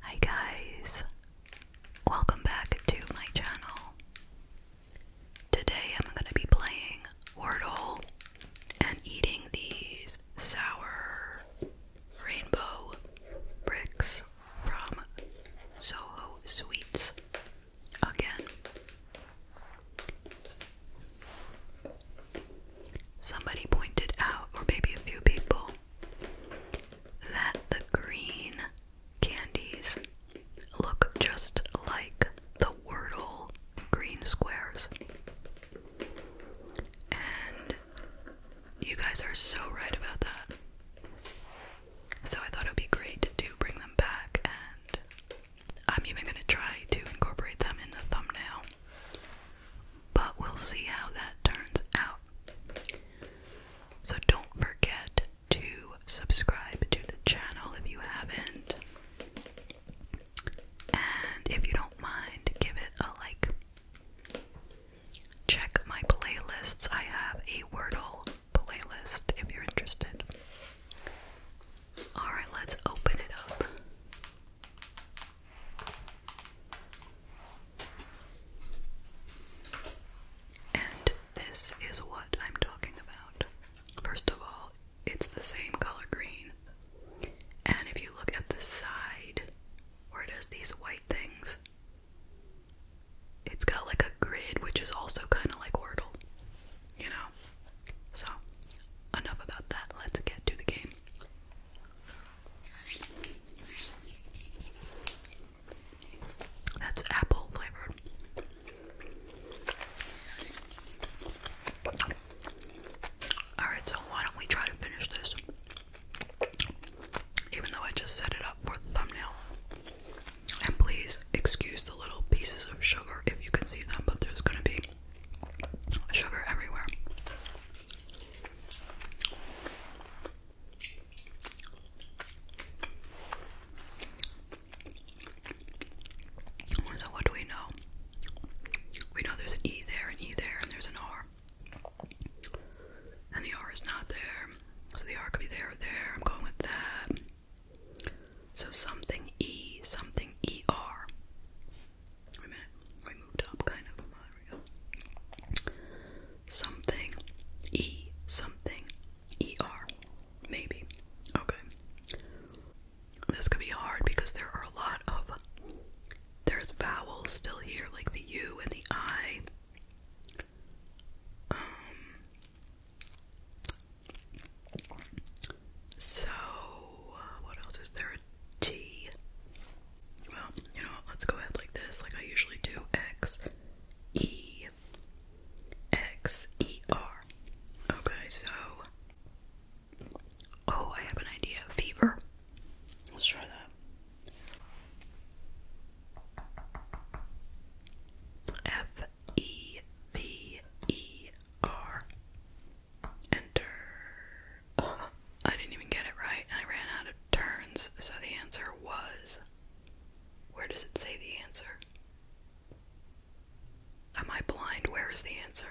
Hi guys, welcome back to my channel. Today I'm going to be playing Wordle and eating these sour rainbow bricks from Soho Sweets again. Somebody pointed out, or maybe a few people, that the green candies look just like the Wordle green squares. And you guys are so right about that. So I thought it would be great to bring them back, and I'm even going to try to incorporate them in the thumbnail but we'll see how that turns out. So don't forget to subscribe to the channel if you haven't. And if you don't mind, give it a like. Check my playlists. I have a Wordle playlist if you're interested. Alright, let's open it up. And this is what I'm talking about. First of all, it's the same color green. And if you look at the side where it has these white things, it's got like a grid, which is also kind of like Wordle, you know? So, enough about that. Let's get to the game. That's apple flavored. Alright, so why don't we try to finish this? Even though I just set it up for thumbnail. And please excuse the little pieces of sugar if you can see them, but there's gonna be sugar everywhere. So what do we know? We know there's an E there, and E there, and there's an R. And the R is not there. So the R could be there or there. I'm going with that. So something E, something ER. Wait a minute. I moved up kind of. Something. E something. ER. Maybe. Okay. This could be hard because there are a lot of there's vowels still here, like the U and the I. Um, so, uh, what else is there? A T. Well, you know Let's go ahead like this, like I usually do. X E X E R. Okay, so oh, I have an idea. Fever. Let's try that. F E V E R. Enter. Uh-huh. I didn't even get it right, and I ran out of turns, so the answer was. Where does it say the answer? Am I blind? Where is the answer?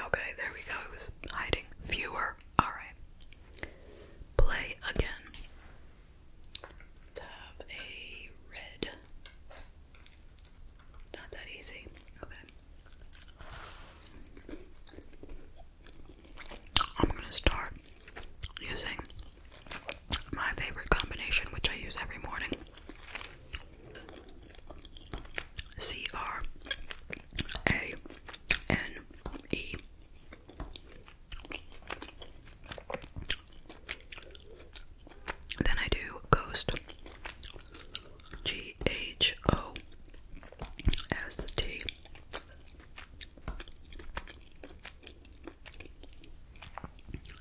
Okay, there we go. It was hiding. Fewer. Alright. Play again. Let's have a red. Not that easy. Okay. I'm gonna start using my favorite combination, which I use every morning C R A N E. Then I do Ghost G H O S T.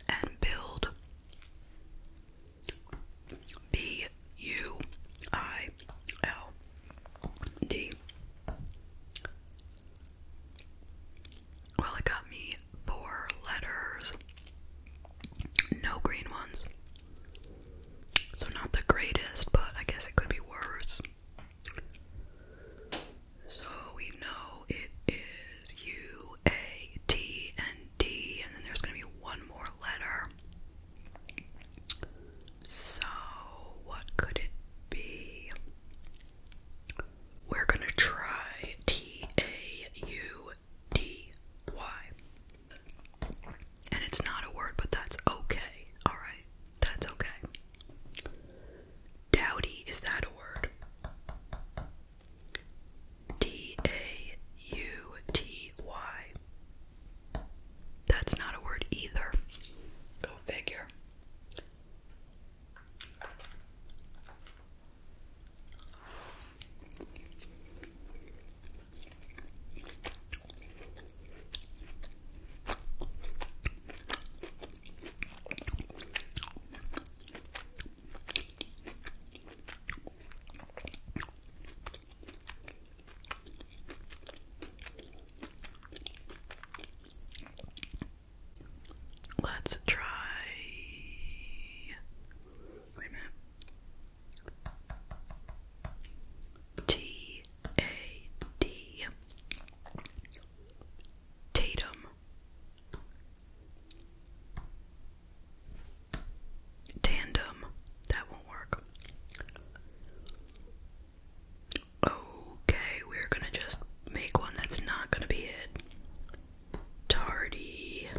And build B U I L D. Well, it got me four letters, no green ones. So, not the greatest, but I guess it could be worse. So, we know it is U, A, T, and D, and then there's going to be one more letter. So, what could it be? We're going to try T, A, U, D, Y. And it's not a word, but that's okay. Alright, that's okay. Dowdy, is that a word? D A U T Y. That's not a word either. Go figure. Let's try. Wait a minute. T A D Tatum Tandem that won't work. Okay, we're gonna just make one that's not gonna be it. Tardy.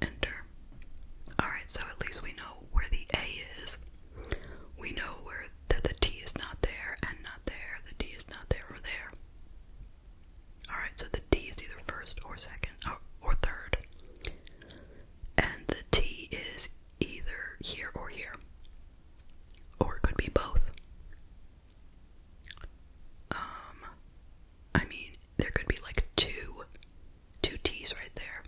Enter. Alright, so at least we know where the A is. We know where that the T is not there and not there. The D is not there or there. Alright, so the D is either first or second or, or third. And the T is either here or here. Or could be both. Um I mean there could be like two two T's right there.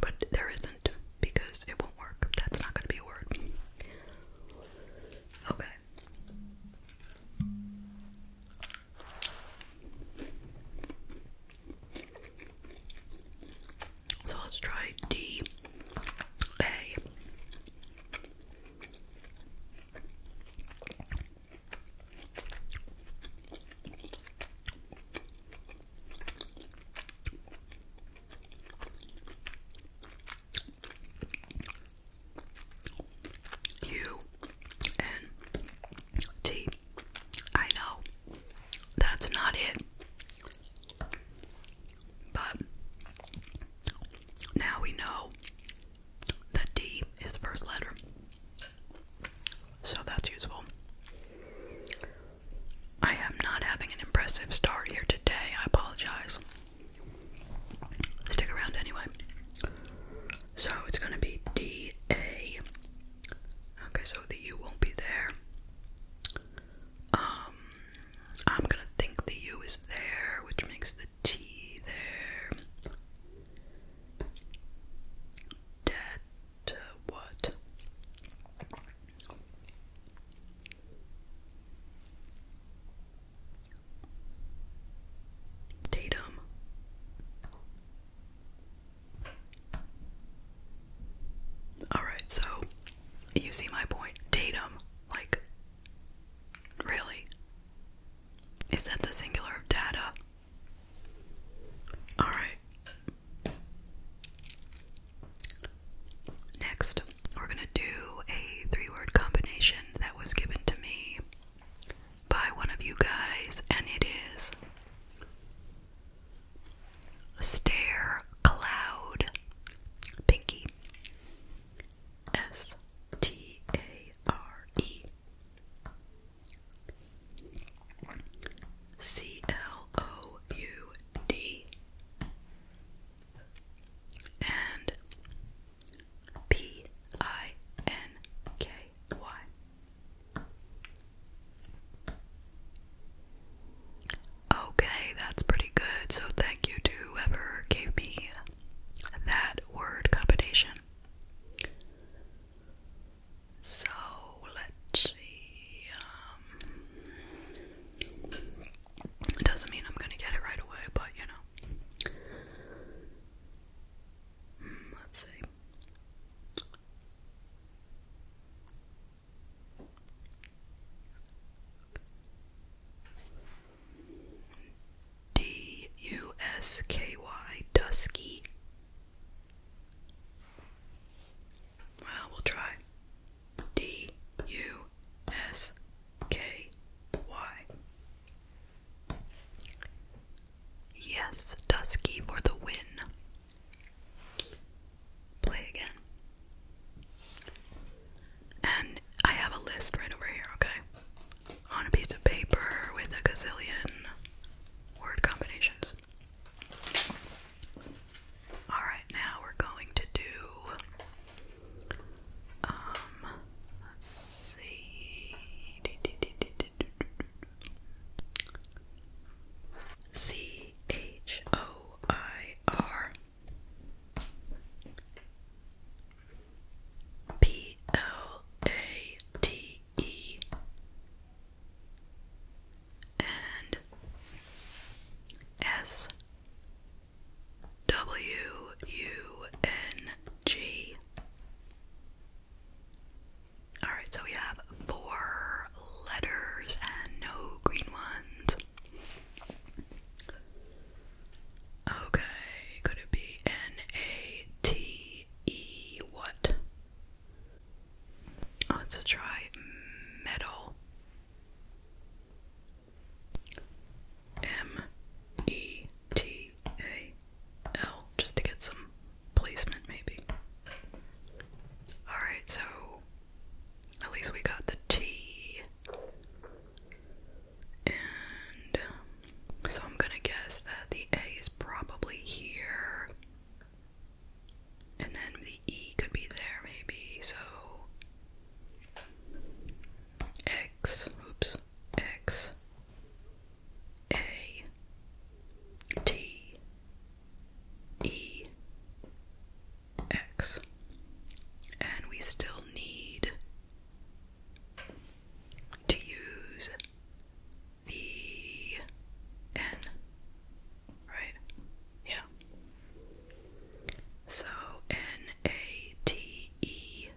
But there isn't because it won't work. That's not going to be a word. Okay. So let's try D A. U N T. I know that's not it, but now we know that T is the first letter. So that's useful. I am not having an impressive start here today. I apologize. Stick around anyway. So it's going to be D A. Okay, so the U won't be there. Um, I'm going to think the U is there, which makes the T there. Debt to what? Datum. Alright, so you see my point. Datum. Like, really? Is that the singular of data? All right. Next, we're going to do a three word combination that was given to me by one of you guys, and it is Stare Cloud Pinky. S T A R E C L O U D and P I N K Y. Okay, that's pretty good. So, thank you to whoever gave me that word combination. So let's see. Um, it doesn't mean I'm gonna get it right away, but you know. Hmm, let's see. D U S K Y Dusky well, we'll try. D U S K Y. Yes, Dusky for the win. Play again. And I have a list right over here, okay? On a piece of paper with a gazillion word combinations. Alright, now we're going to do. Um, C H O I R P L A T E and S W U N G. Alright, so we have four letters and no green ones. Okay, could it be N A T E? What? Let's try metal. M E T A L, just to get some placement, maybe. Alright, so at least we got the T. And um, so I'm gonna guess that the A is probably here. And then the E could be there maybe, so X, oops, X, A, T, E, X. And we still need to use the N. Right? Yeah. So N A T E.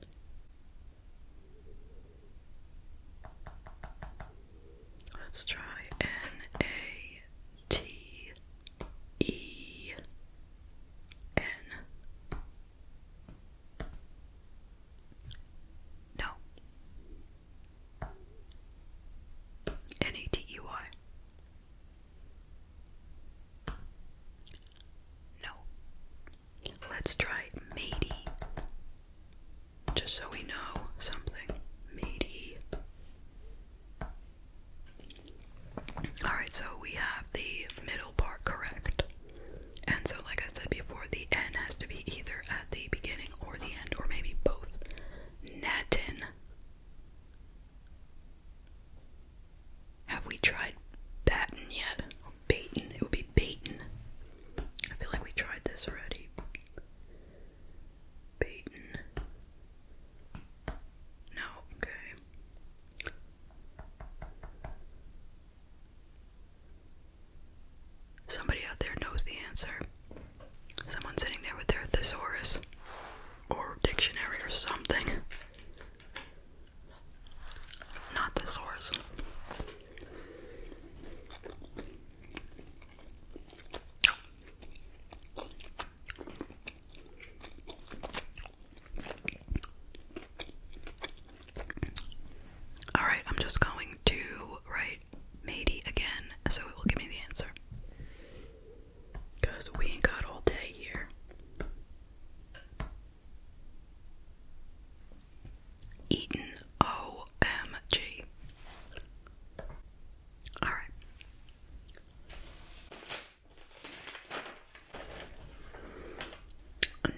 Let's try N A T E N. No. N A T E Y. No. Let's try matey. Just so we know something. Matey. Alright, so we have the middle part correct. And so, like I said before, the N has to be either at the beginning or the end, or maybe both. Natin. Have we tried Batten yet? Or It would be Baton. I feel like we tried this already. Baton. No, okay. Somebody out there knows the answer. Someone sitting there with their thesaurus or dictionary or something. Not thesaurus. Alright, I'm just going to write matey again, so it will give me the answer. Because we ain't got all day here. Eaton OMG. Alright.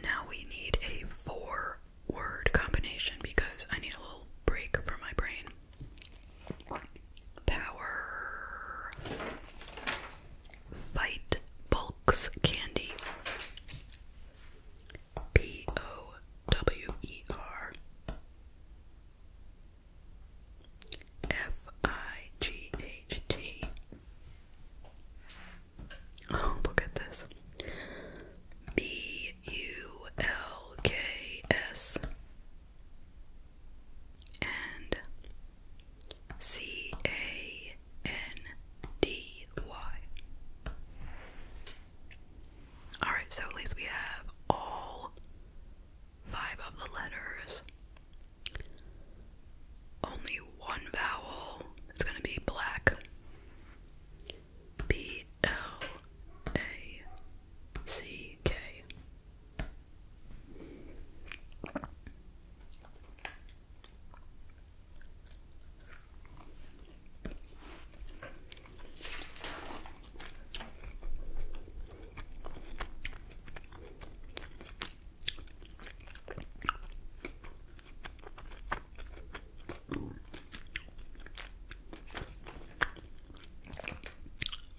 Now we need a four word combination because I need a little break for my brain. Power Fight Bulks Candy. P O W E R F I G H T. Oh, look at this. B U L K S and C A N D Y. Alright, so at least we have all five of the letters. Only one vowel is going to be black. B L A C K.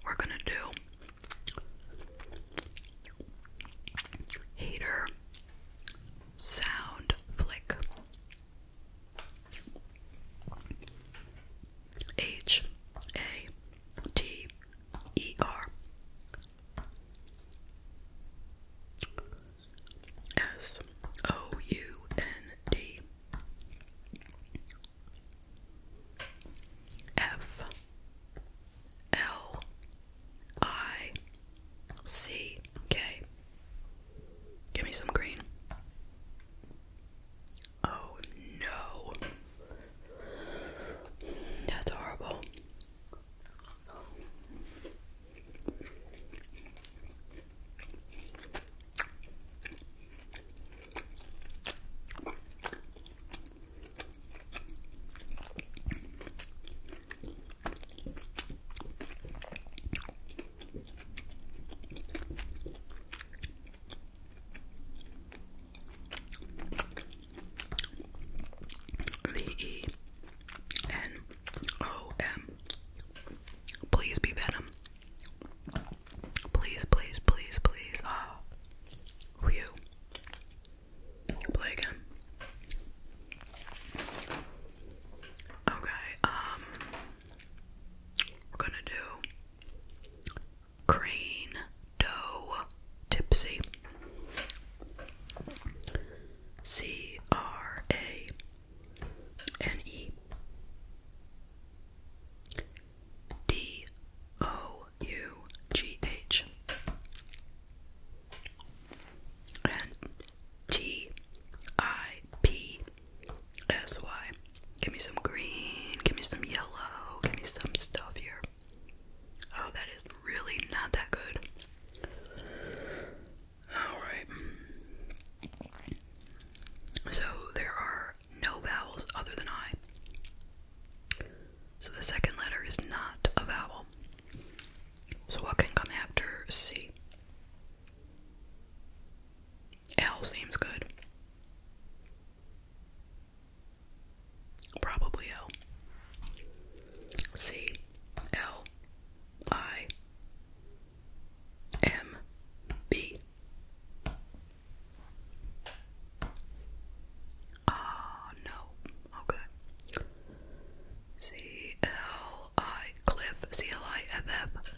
We're gonna do hater sound flick H A T E R S O U N D F L I C K. Give me some green. Oh no. That's horrible. V E N O M. Please be Venom. Please, please, please, please. Ah, oh, play again. Okay. Um, we're gonna do crane dough tipsy. C R A N E D O U G H and T I P S Y. Give me some green, give me some yellow, give me some stuff here. Oh, that is really not that good. Alright. So there are no vowels other than I. So the second letter is not a vowel. So what can come after C? L seems good. Probably L. C, L, I, M B Ah, no. Okay. C L I Cliff C L I F F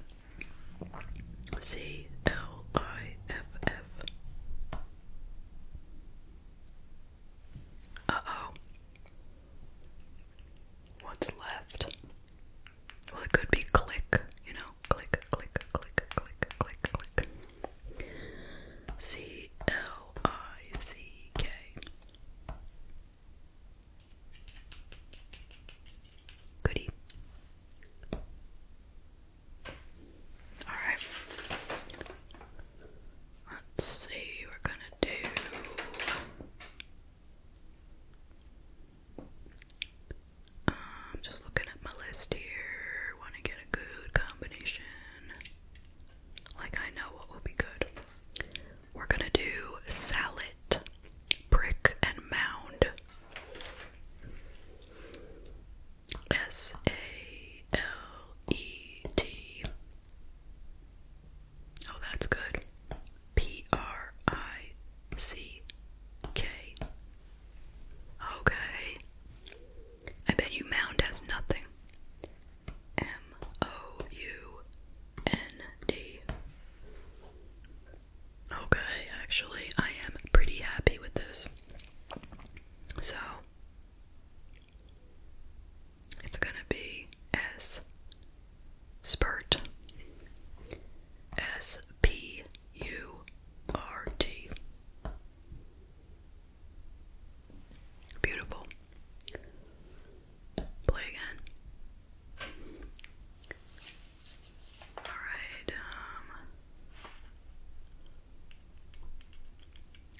C L I F F Uh oh. What's left? Well, it could be click, you know, click, click, click, click, click, click. C L I C K. Goodie. All right. Let's see. We're gonna do. I'm um, just looking at my list here. Want to get a good combination. Like, I know what will be good. We're gonna do salad, brick, and mound. S A L E T. Oh, that's good. P R I C K Okay. I bet you mound has nothing. M O U N D. Okay, actually, I am pretty happy with this. So, it's gonna be S. Spurt. S P U R T. Beautiful. Play again. Alright, um,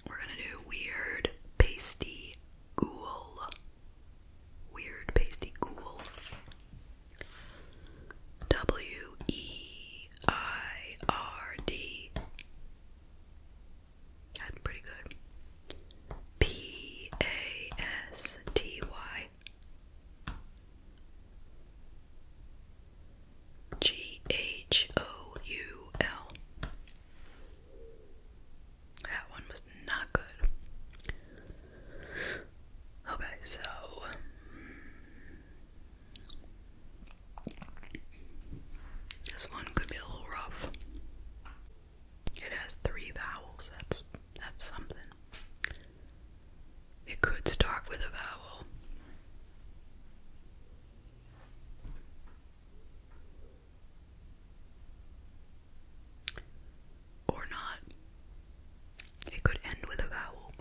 We're gonna do weird pasty ghoul. Weird pasty ghoul. W E I R D. That's pretty good. P A S T Y. G H O U L. That one was not good. Okay, so this one could be a little rough. It has three vowels. That's that's something. It could start with a vowel. Or not. It could end with a vowel.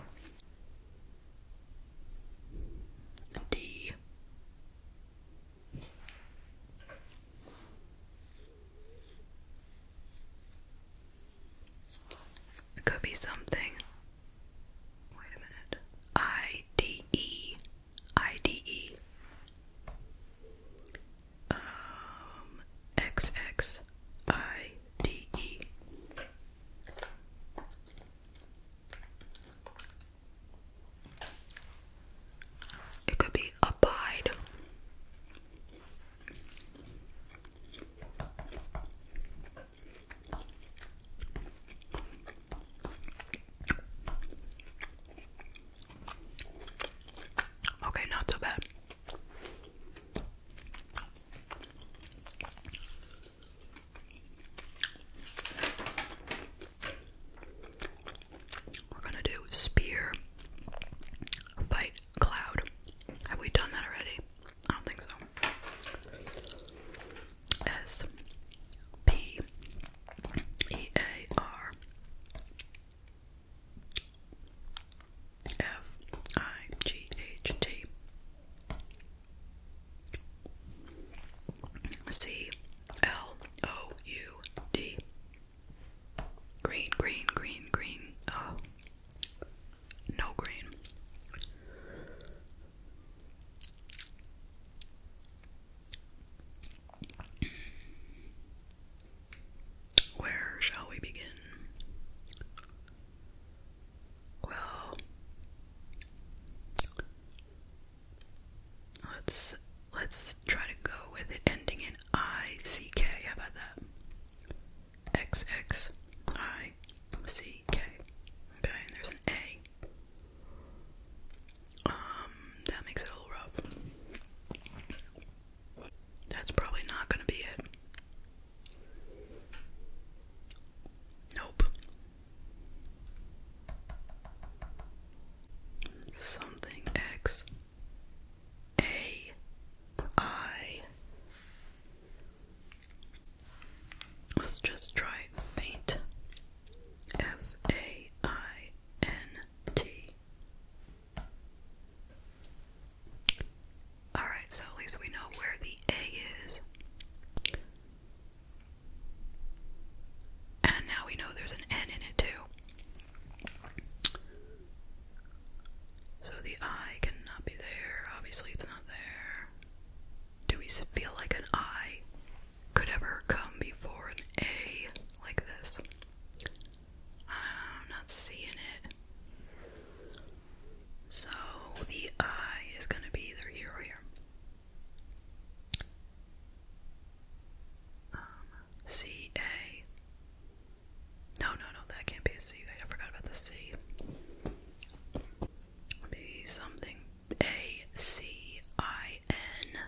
D. It could be something. Wait a minute. I D E. I D E. Um, I D E. It could be abide. Okay, not so bad. We're gonna do spear fight cloud. Have we done that already? I don't think so. S P E A R F I G H T C L O U D Green, green, green, green. Oh, no green. Where shall we begin? Well, let's let's try to go with it ending in I C K. How about that? X X I C K. Okay, and there's an A. Um, that makes it a rough. That's probably not going to be it. Nope. Something X A I. Let's just try faint. F A I N T. Alright, so at least we know where the A is. And now we know there's an N in it too. So the I cannot be there. Obviously, it's not there. Do we feel like an I could ever come before an A like this? I'm not seeing it. So the I is going to be either here or um, here. C A. No, no, no, that can't be a C. I forgot about the C. Be something A C I N.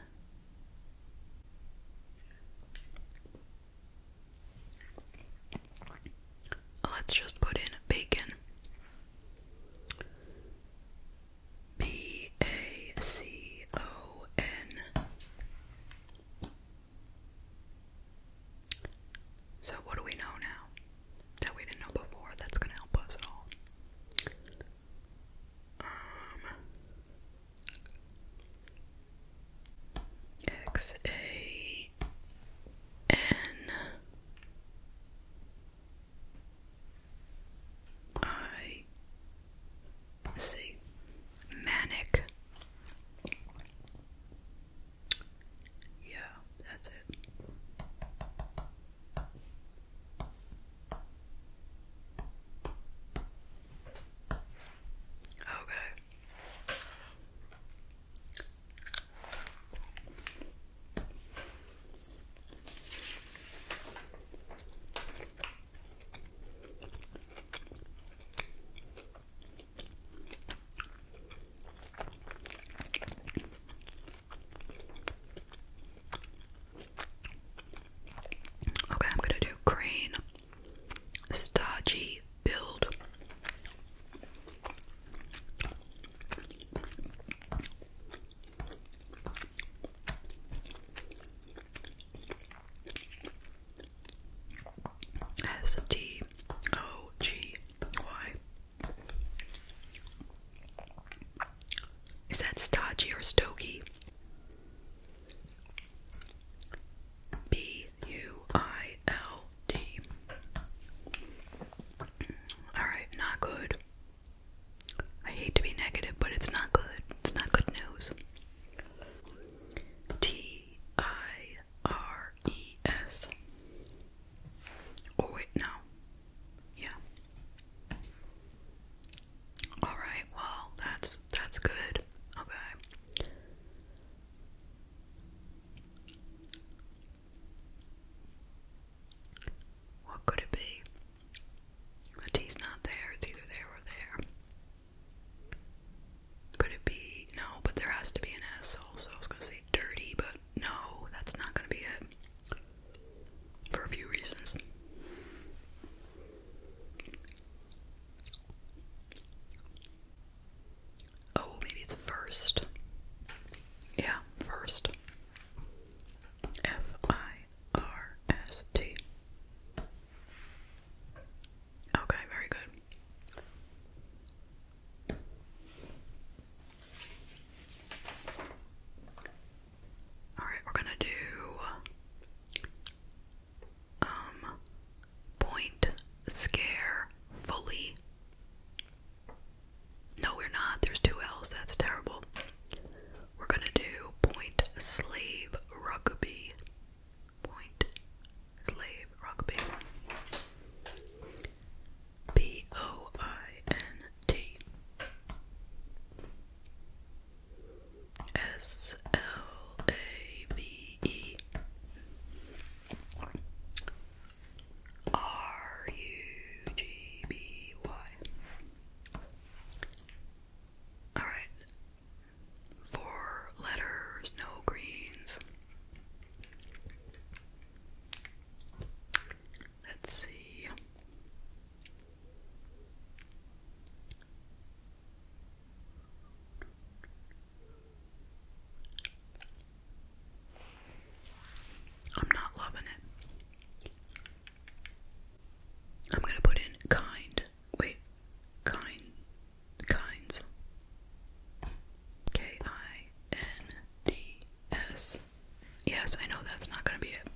Let's just put in bacon. B A C O N. So, what do we know now that we didn't know before that's going to help us at all? Um, X A N I see manic. Yeah, that's it. Okay. Okay, I'm going to do green, starchy build S T O G Y. Is that stodgy or stoky? B U I D. Alright, not good. I hate to be negative, but it's not good. It's not good news. T I R E S. Oh, wait, no. Yeah. Alright, well, that's that's good. Okay. What could it be? The T's not there, it's either there or there. Could it be? No, but there has to be an S also. I was gonna say dirty, but no, that's not gonna be it. For a few reasons. Oh, maybe it's first. Yeah, first. F I R S T. Okay, very good. Alright, we're gonna do um point scare fully no, we're not. There's two L's. That's terrible. We're going to do point slave rugby. Point slave rugby. B O I N T S L A V E R U G B Y. Alright. Four letters, no greens. Let's see. I'm not loving it. I'm gonna put in kind. Wait, kind, kinds. K I N D S. Yes, I know that's not gonna be it.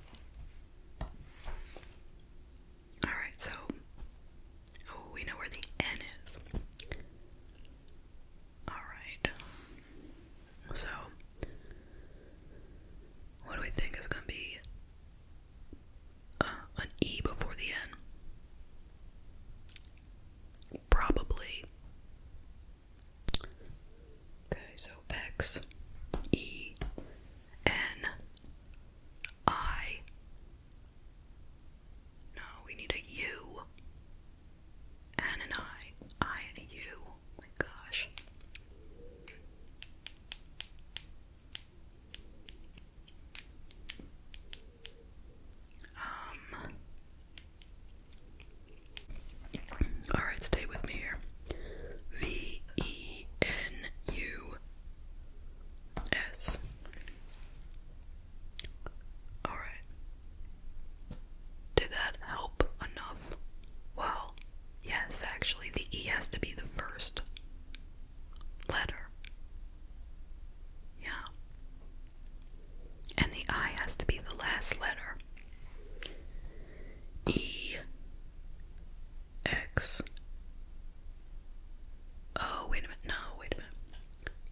Alright, so. Oh, we know where the N is. Alright. So, what do we think is going to be uh, an E before the N? Probably. Okay, so X, E, N, I. No, we need a U. Anne and I, I and you. Oh my gosh. Um. All right, stay with me here. V E N U S. Alright. Did that help enough? Well, yes, actually, the E has to be the first letter. Yeah. And the I has to be the last letter. E X. Oh, wait a minute. No, wait a minute.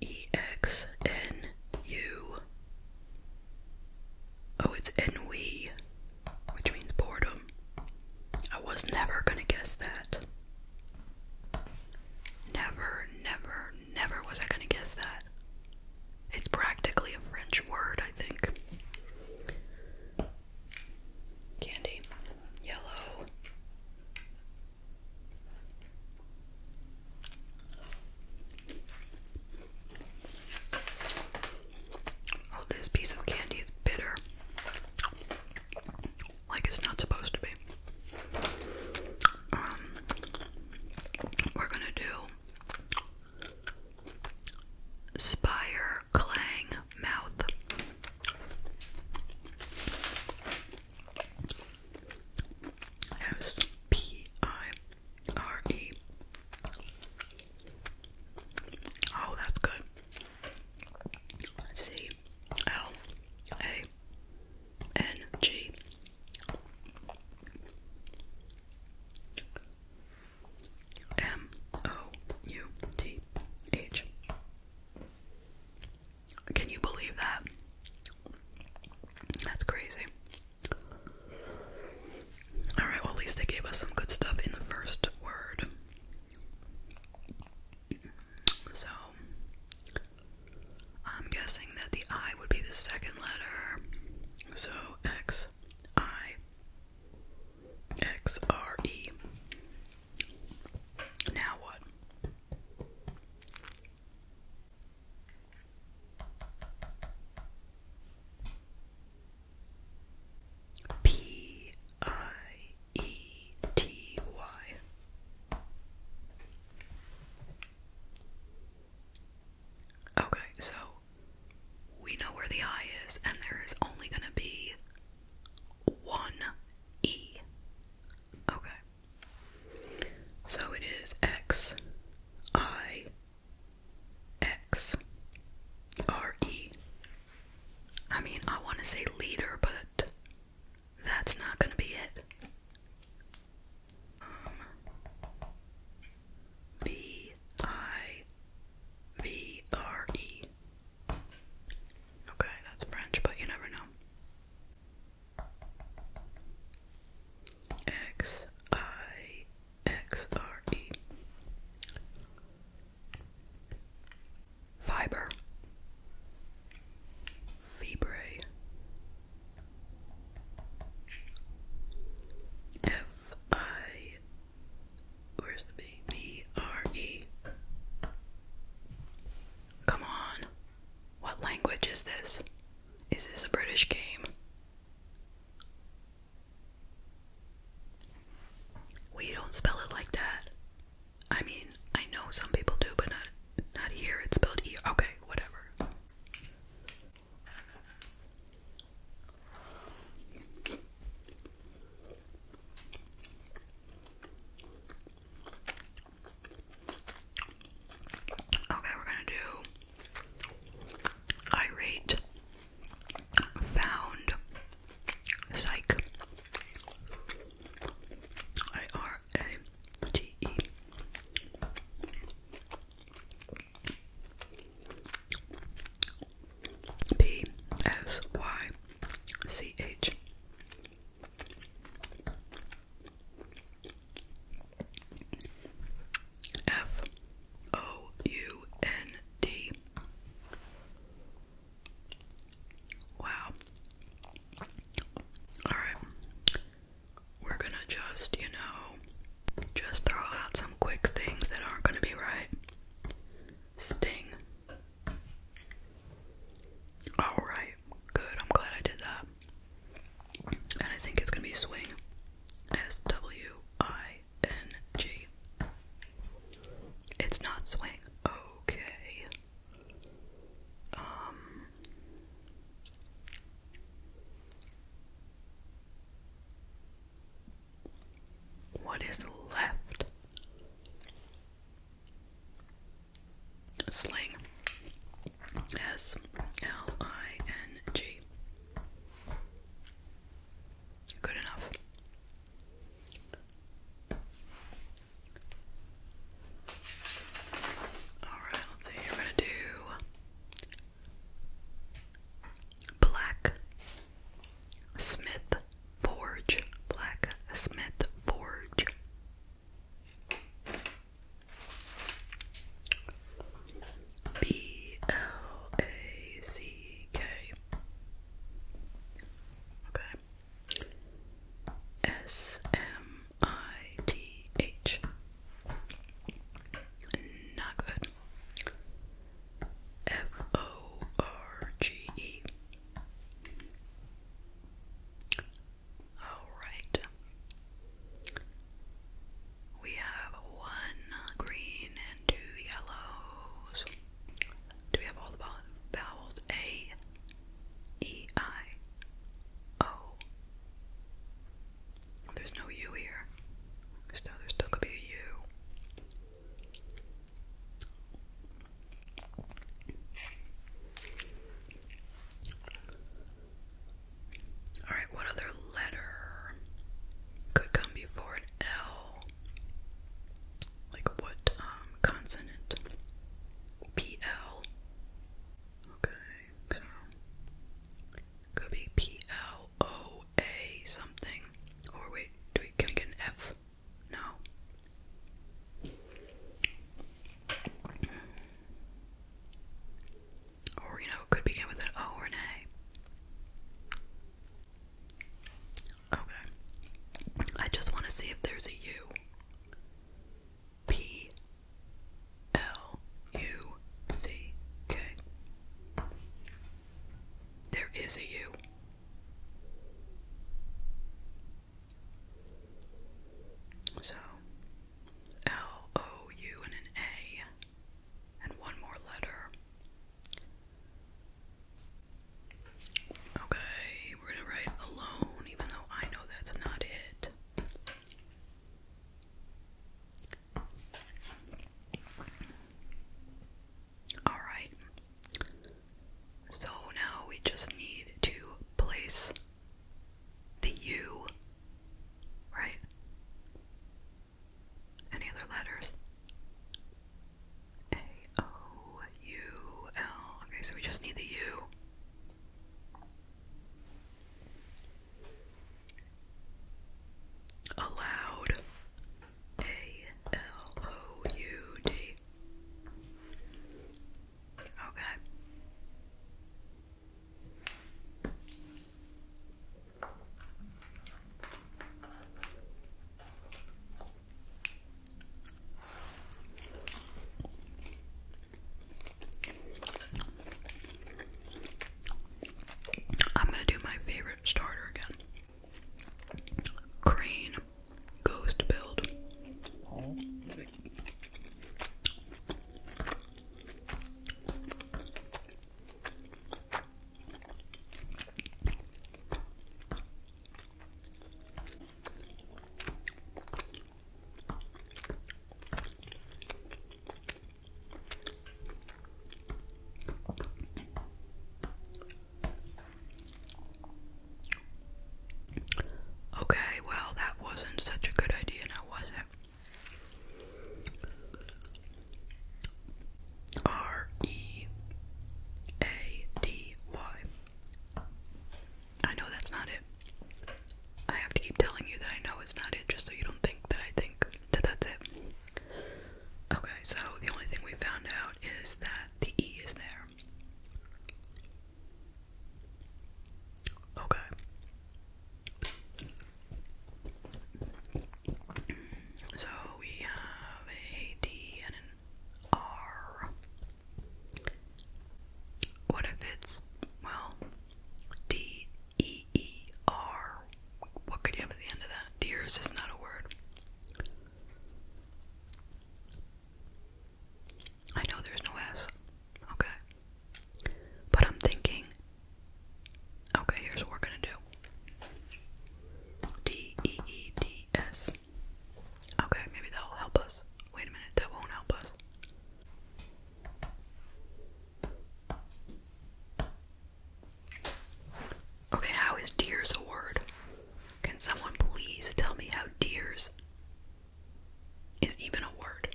E X N U. Oh, it's ennui, which means boredom. I was never gonna guess that. Never, never, never was I gonna guess that. It's practically a French word, I think. Candy, yellow. Oh, this piece of candy is bitter. Like it's not supposed to be. Um, we're gonna do Spire Clang Mouth. S P I R E. Oh, that's good. C L A N G. M O U T H. Can you believe that? That's crazy. Alright, well, at least they gave us some good stuff in the first word. So, I'm guessing that the I would be the second letter. So, X, I, X, R, E. Now what? P I E T Y. Okay, so we know where the I is, and there is only going to be one E. Okay. So it is X I X R E. I mean, I want to say leader, but that's not going to be it. Um, Okay, that's French, but you never know. X I X R E Fiber Fibre F I Where's the B? B R E Come on. What language is this? Is this a British game? We don't spell it like that. I mean, I know some people do, but not not here. It's spelled E. Okay, whatever. Okay, we're gonna do irate, found, psych, I R A T E. B S Y C H F O U N D. Wow. Alright. We're gonna just, you know, just throw out some quick things that aren't gonna be right. Sting. Alright, good. I'm glad I did that. And I think it's gonna be swing. S W I N G. It's not swing. Okay. Um. What is left? Sling. S L I N G. Good enough. Alright, let's see. We're going to do Black Forge. Black Forge. B L A C K. Okay. S M I T H. Not good. F O R G E. Alright. We have one green and two yellows. Do we have all the vowels? A, E, I, O. There's no U here. So there still could be a U. Alright, what other letter could come before an L? Like what um consonant? P L. Okay, so could be P L O A something. Or wait, do we can we get an F? No. Or, you know, could begin with an O or an A. Okay. I just want to see if there's a U. P L U C K. There is a U. So, L O U and an A, and one more letter. Okay, we're gonna write alone, even though I know that's not it. Alright, so now we just need to place the U Right? Any other letters? A O U L. Okay, so we just need the U. Allowed. A L O U D. Okay. I'm going to do my favorite starter again. Crane Ghost Build. Oh, Okay, well, that wasn't such a good idea now, was it? R E A D Y. I know that's not it. I have to keep telling you that I know it's not it just so you don't think that I think that that's it. Okay, so the only thing we found out is that the E is there. Okay. So we have a D and an R. What if it's, well, D E E R? What could you have at the end of that? Deer is just not a word. I know there's no S. Okay. But I'm thinking, okay, here's what we're gonna do D E E D S. Okay, maybe that'll help us. Wait a minute, that won't help us. Okay, how is deers a word? Can someone please tell me how deers is even a word?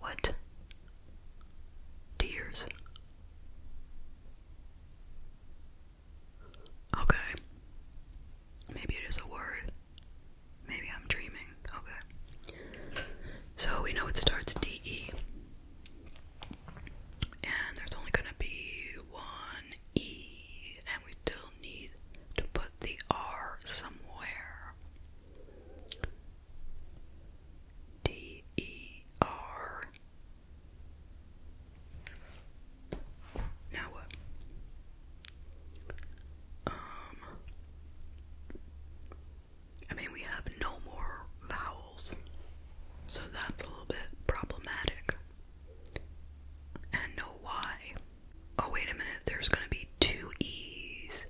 What? Tears. Okay. Maybe it is a word. Maybe I'm dreaming. Okay. So we know it starts D E. And there's only gonna be one E, and we still need to put the R somewhere. D E R. Now what? Um, I mean, we have no more vowels, so that's a little bit problematic. And no Y. Oh, wait a minute, there's gonna be two E's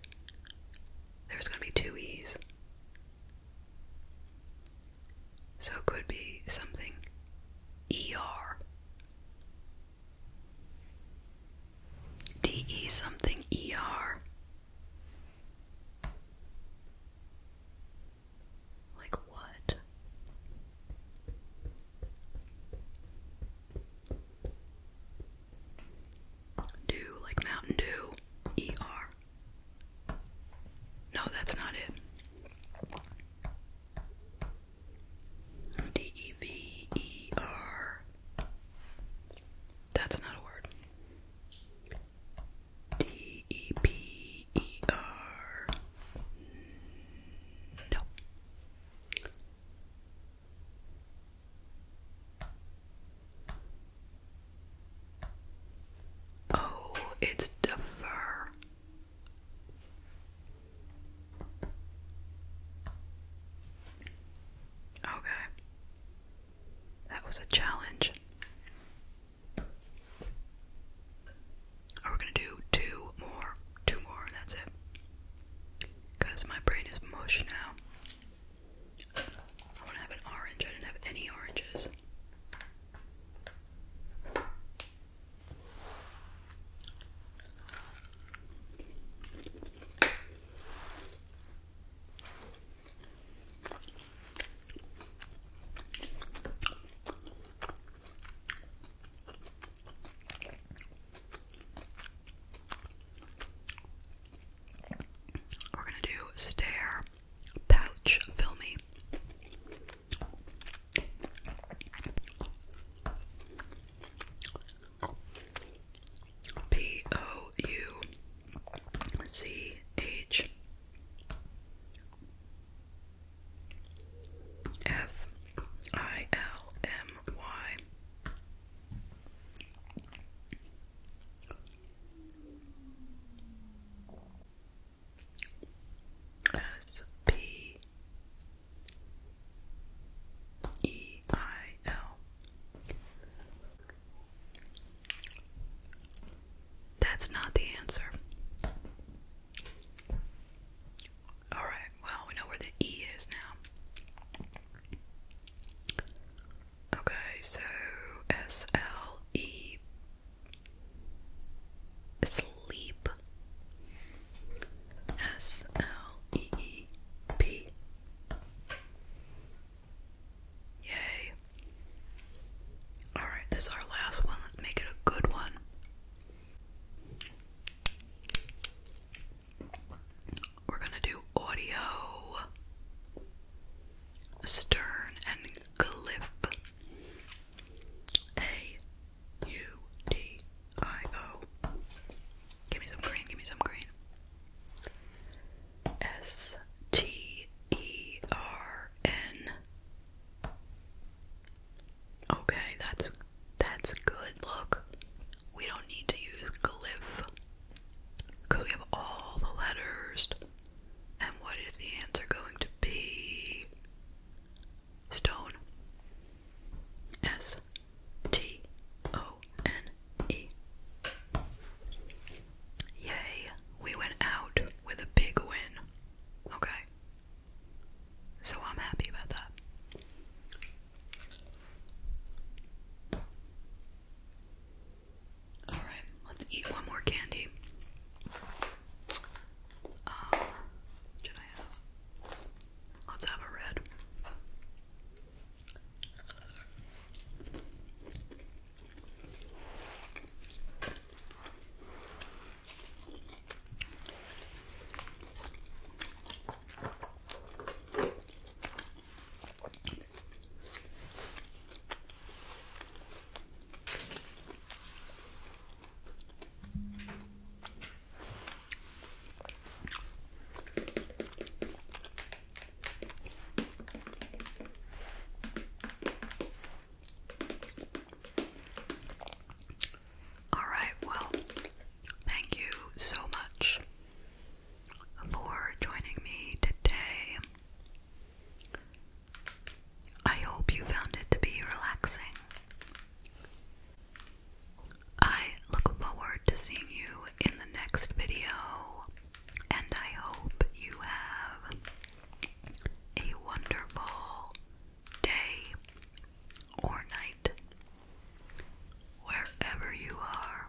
there's going to be two E's. So it could be something ER. DE something ER. Like what? Dew, like Mountain Dew. E-R. No, that's not it. D-E-V-E-R. That's not a word. D-E-P-E-R. No. Oh, it's the Okay. That was a challenge. Are we gonna do two more? Two more, that's it. Because my brain is mush now. I want to have an orange. I didn't have any oranges. We're gonna do stare pouch filmy. P O U C H F I L M Y S P E I L. That's not the answer. Alright, well, we know where the E is now. Okay, so S L E sleep. S L E E P. Yay. Alright, this is our last one. Let's make it a good one. We're gonna do audio, stern, and glyph. A U D I O. Give me some green, give me some green. S T E R N. Okay, that's that's good. Look, we don't need to use glyph because we have all the letters. And what is the answer going to be? Stone. S T O N E. Yay, we went out with a big win. Okay. So I'm happy about that. Alright, let's eat one more candy. Uh, let's have a red. All right, well, thank you so much for joining me today. I hope you found it to be relaxing. I look forward to seeing you in the next video, and I hope you have a wonderful day or night wherever you are.